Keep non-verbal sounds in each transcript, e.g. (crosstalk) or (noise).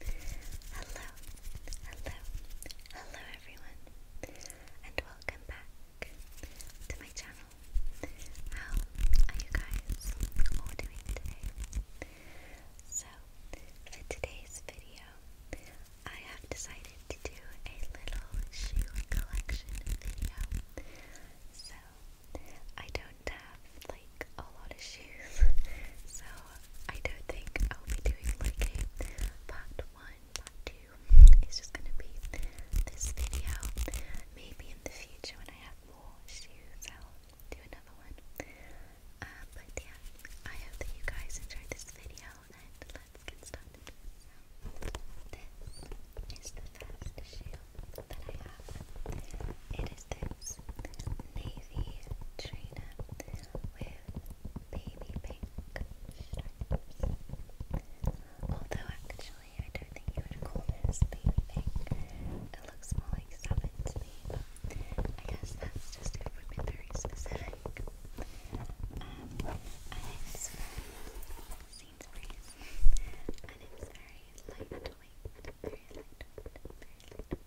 Hello, hello, hello everyone, and welcome back to my channel. How are you guys doing today? So, for today's video, I have decided to do a little shoe collection video. So, I don't have like a lot of shoes, so I don't think I'll be doing like a part one, part two. It's just gonna be this video. Maybe in the future when I have more shoes, I'll do another one. Uh, but yeah, I hope that you guys enjoyed this video, and let's get started. So, this is the first shoe that I have. It is the James navy trainer with baby pink stripes. Although actually I don't think you would call this baby pink. It looks more like salmon to me, but I guess that's just very specific. Um, and it's very, very lightweight, very lightweight, very lightweight.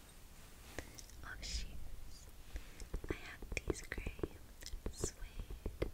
of oh, shoes. I have these grey suede boots.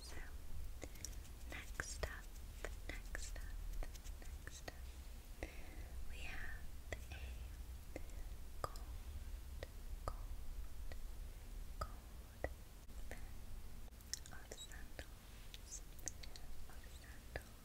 So, next up, next up, next up, we have a cold, cold, cold pair of sandals, of sandals.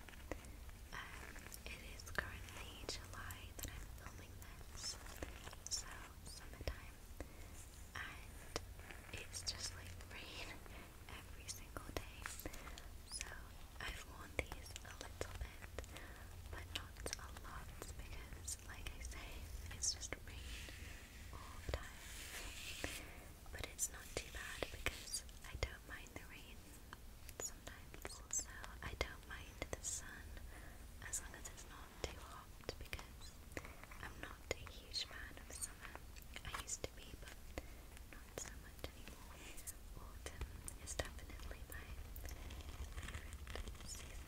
Um, it is currently July that I'm filming this, so summertime, and it's just like rain every single day. So I've worn these a little bit, but not a lot because, like I say, it's just rain all the time. But it's not too bad because I don't mind the rain sometimes, so I don't mind the sun as long as it's not too hot because I'm not a huge fan of summer. I used to be, but not so much anymore. Autumn is definitely my favorite season.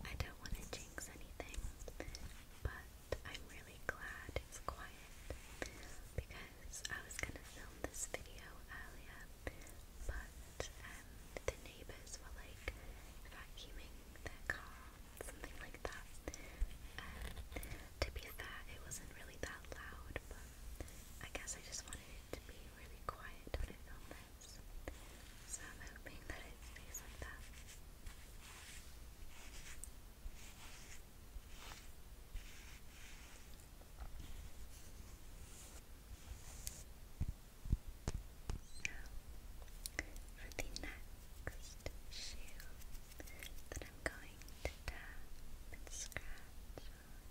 I don't want to jinx anything, but I'm really glad it's quiet because I was gonna film this video earlier, but um, the neighbours were like vacuuming their car, something like that. Um, to be fair, it wasn't really that loud, but I guess I just wanted it to be really quiet when I film this. So I'm hoping that it stays like that. Now, for the next shoe that I'm going to tap and scratch on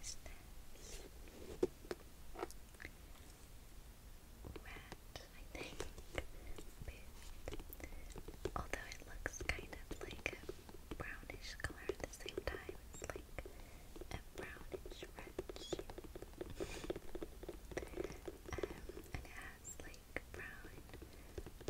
is this rat, I think. although it looks kind of like a brownish color at the same time, it's like a brownish red um, and it has like brown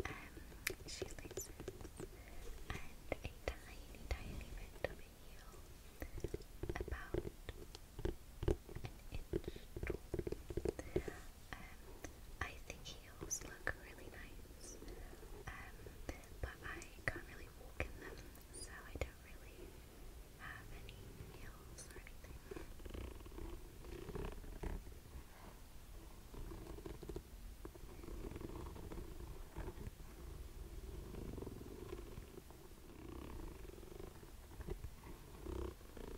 um, shoelaces and a tiny, tiny bit of a about inch um, I think heels look really nice um, but I can't really walk in them so I don't really have any heels or anything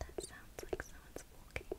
That sounds like someone's walking.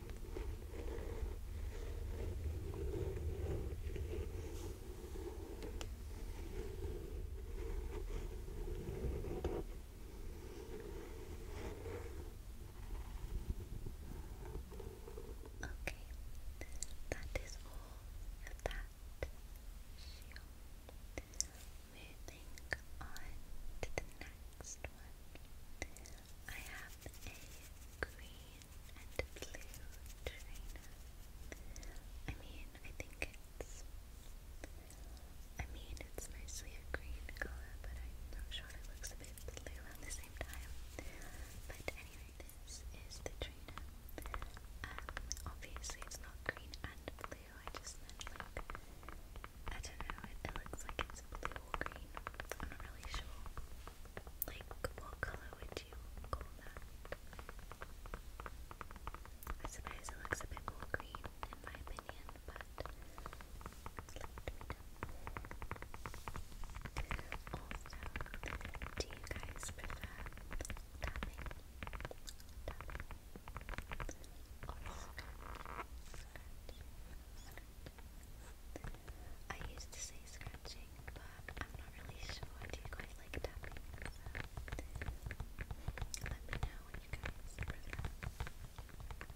Okay, that is all of that Moving on to the next one, I have a green and blue trainer. I mean, I think it's. I mean, it's mostly a green color, but I'm not sure it looks a bit blue at the same time. But anyway, this is the trainer. Um, obviously, it's not green and blue. I just meant like I don't know. it looks like it's blue boring. I'm not really sure. Like, what color would you call that? I suppose it looks a bit more green, in my opinion, but do you guys prefer I used to say scratching, but I'm not really sure. Do you guys like tapping? let me know what you guys prefer. All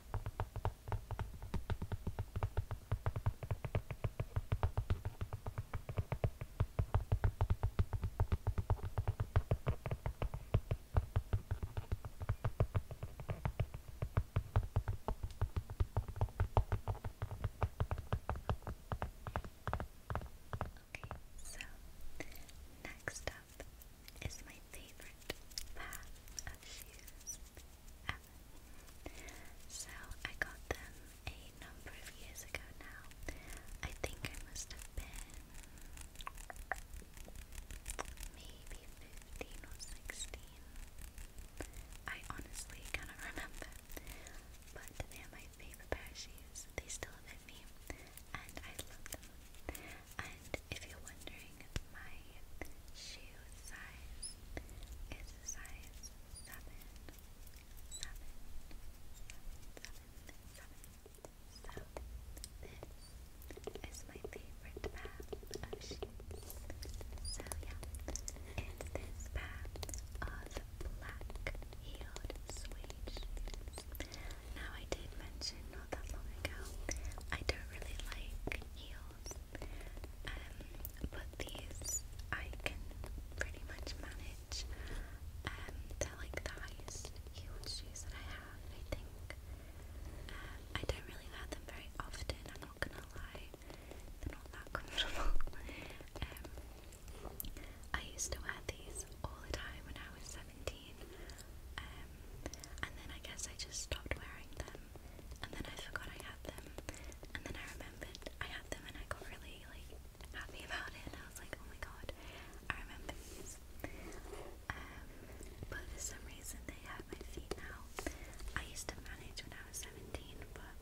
Okay, so next up Path is my favorite path of shoes ever. So I got them a number of years ago now. I think I must have been maybe 15 or 16. I honestly cannot remember. But they are my favorite pair of shoes. They still fit me and I love them. And if you're wondering, my shoe size is a size seven, seven, seven, seven, seven. So this is my favorite pair of shoes. So yeah, it's this pair of black heeled suede Now I did mention that long ago. I don't really like heels, um, but these I can pretty much manage. Um, they're like the highest heeled shoes that I have, I think. Um, I don't really wear them very often, I'm not gonna lie. They're not that (laughs) comfortable. I used to wear these all the time when I was 17 um, and then I guess I just stopped wearing them, and then I forgot I had them, and then I remembered I had them, and I got really like happy (laughs) about it. And I was like, oh my god, I remember these. Um, but for some reason they hurt my feet now. I used to manage when I was seventeen, but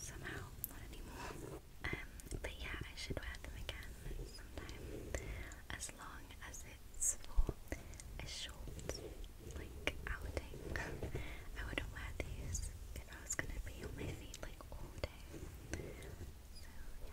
somehow not anymore. Um, but yeah, I should wear them again sometime as long as it's for a short like outing. I wouldn't wear these if I was gonna be on my feet like all day. So yeah.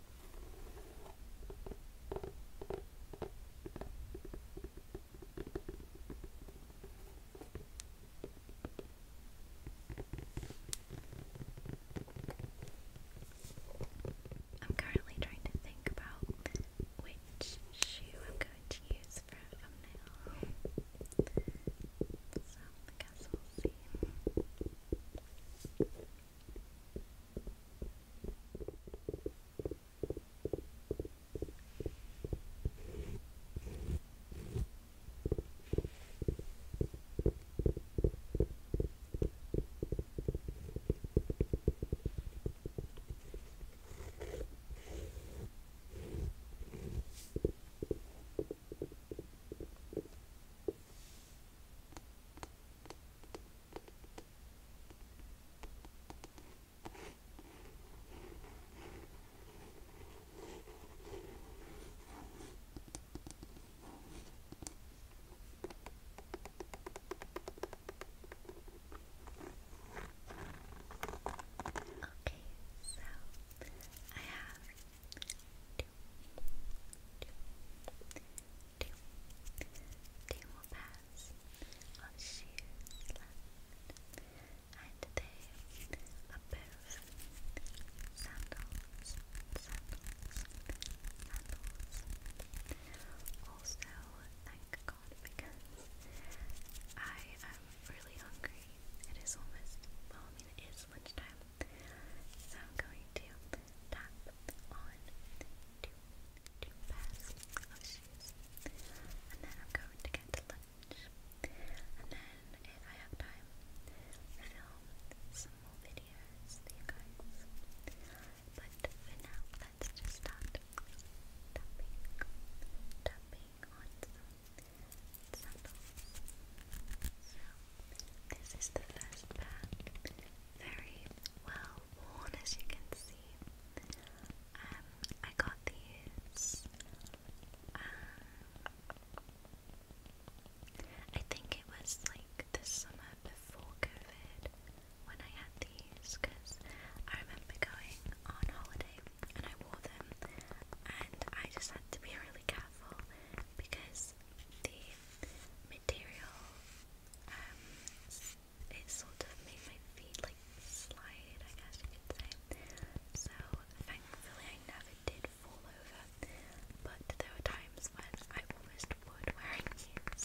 I'm currently trying to think about which shoe I'm going to use for a thumbnail. I guess we'll see. Okay, so I have Two more pairs shoes and they are sandals, sandals. Also, thank God because I am really hungry. It is almost, well, I mean, it is it's So I'm going to tap on two, two pairs shoes. And then I'm going to get lunch. And then if I have time, film some more videos you guys. But for now, let's just start tapping, tapping on some So this is the first pair, very well worn as you can see. Um, I got these. Um, I think it was like the summer before COVID when I had these because I remember going on holiday and I wore them and I just had to be really careful because the material, um, it sort of made my feet like slide, I guess you could say. So thankfully I never did fall over, but there were times when I almost would wearing (laughs) heels.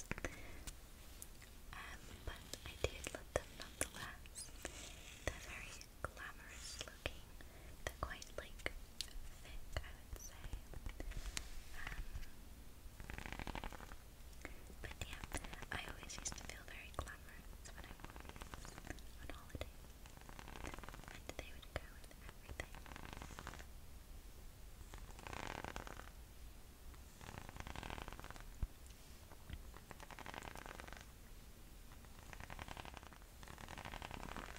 Um, but I did love them nonetheless. They're very glamorous looking. quite like thick, would say. Um, but yeah, I always used to feel very glamorous when I was on holiday. And they would go with everything.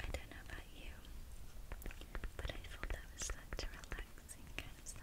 I don't know about you, but I thought that was like a relaxing kind of sound.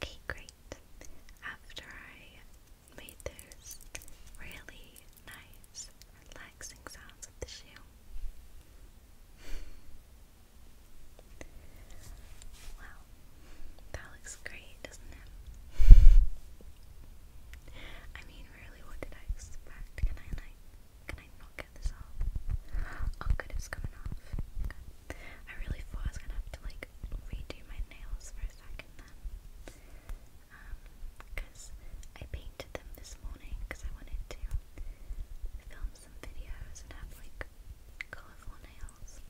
Okay, great. After I made those really nice, relaxing sounds of the shoe, wow, that looks great, doesn't it? I mean, really, what did I expect? Can I like, can I not get this off? Oh, good, it's coming off. I really thought I was gonna have to like redo my nails for a second um, because I painted them this morning because I wanted to film some videos and have like colorful nails.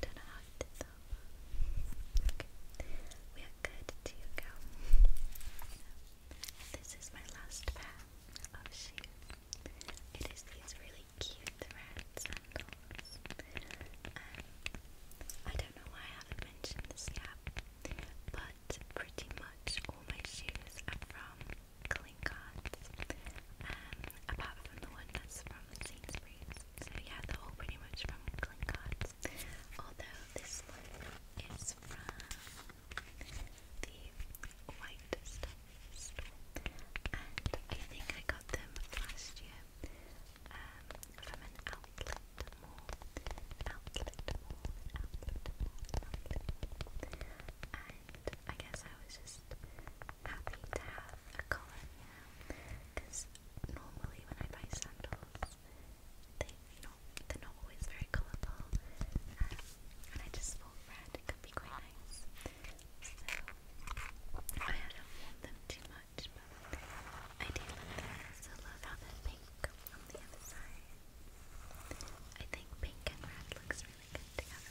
Don't know how I did that we are good to go. this is my last pair of shoes. It is these really cute red sandals. I don't know why I haven't mentioned this yet, but pretty much all my shoes are from Clinkart, um, apart from the one from Sainsbury's. So yeah, they all pretty much from Clinkart. Although this one is from the White Stuff store, and I think I got them last year um, from an outlet mall. Outlet mall, outlet mall, outlet mall. And I guess I was just happy to have a colour, you know, because normally when I buy sandals, they not they're not always very colourful, um, and I just thought red could be quite nice. So I don't want them too much, but I do love them. I love how they're pink on the other side. I think pink and red looks really good together.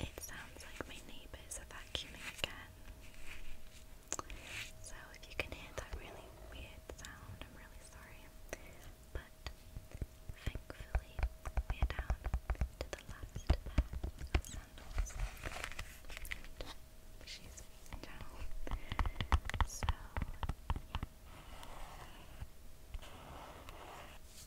It sounds like my neighbours are vacuuming again. So if you can hear that really weird sound, I'm really sorry. But thankfully, we're down to the last pair she's in So,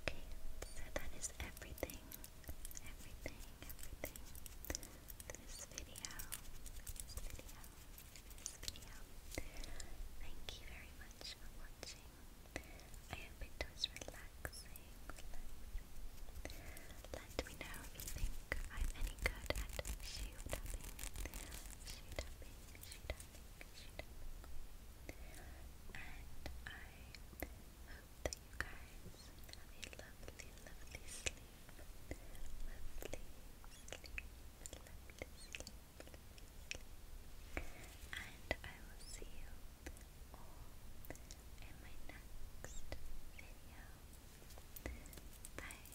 Okay, so that is everything, everything, everything. This video, this video, this video. Thank you very much for watching. I hope it was relaxing, Let me know if you think I'm any good at shoe tapping, shoe and I hope that you guys have a lovely, lovely sleep. Lovely Lovely sleep. And I will see you all in my next video. Bye.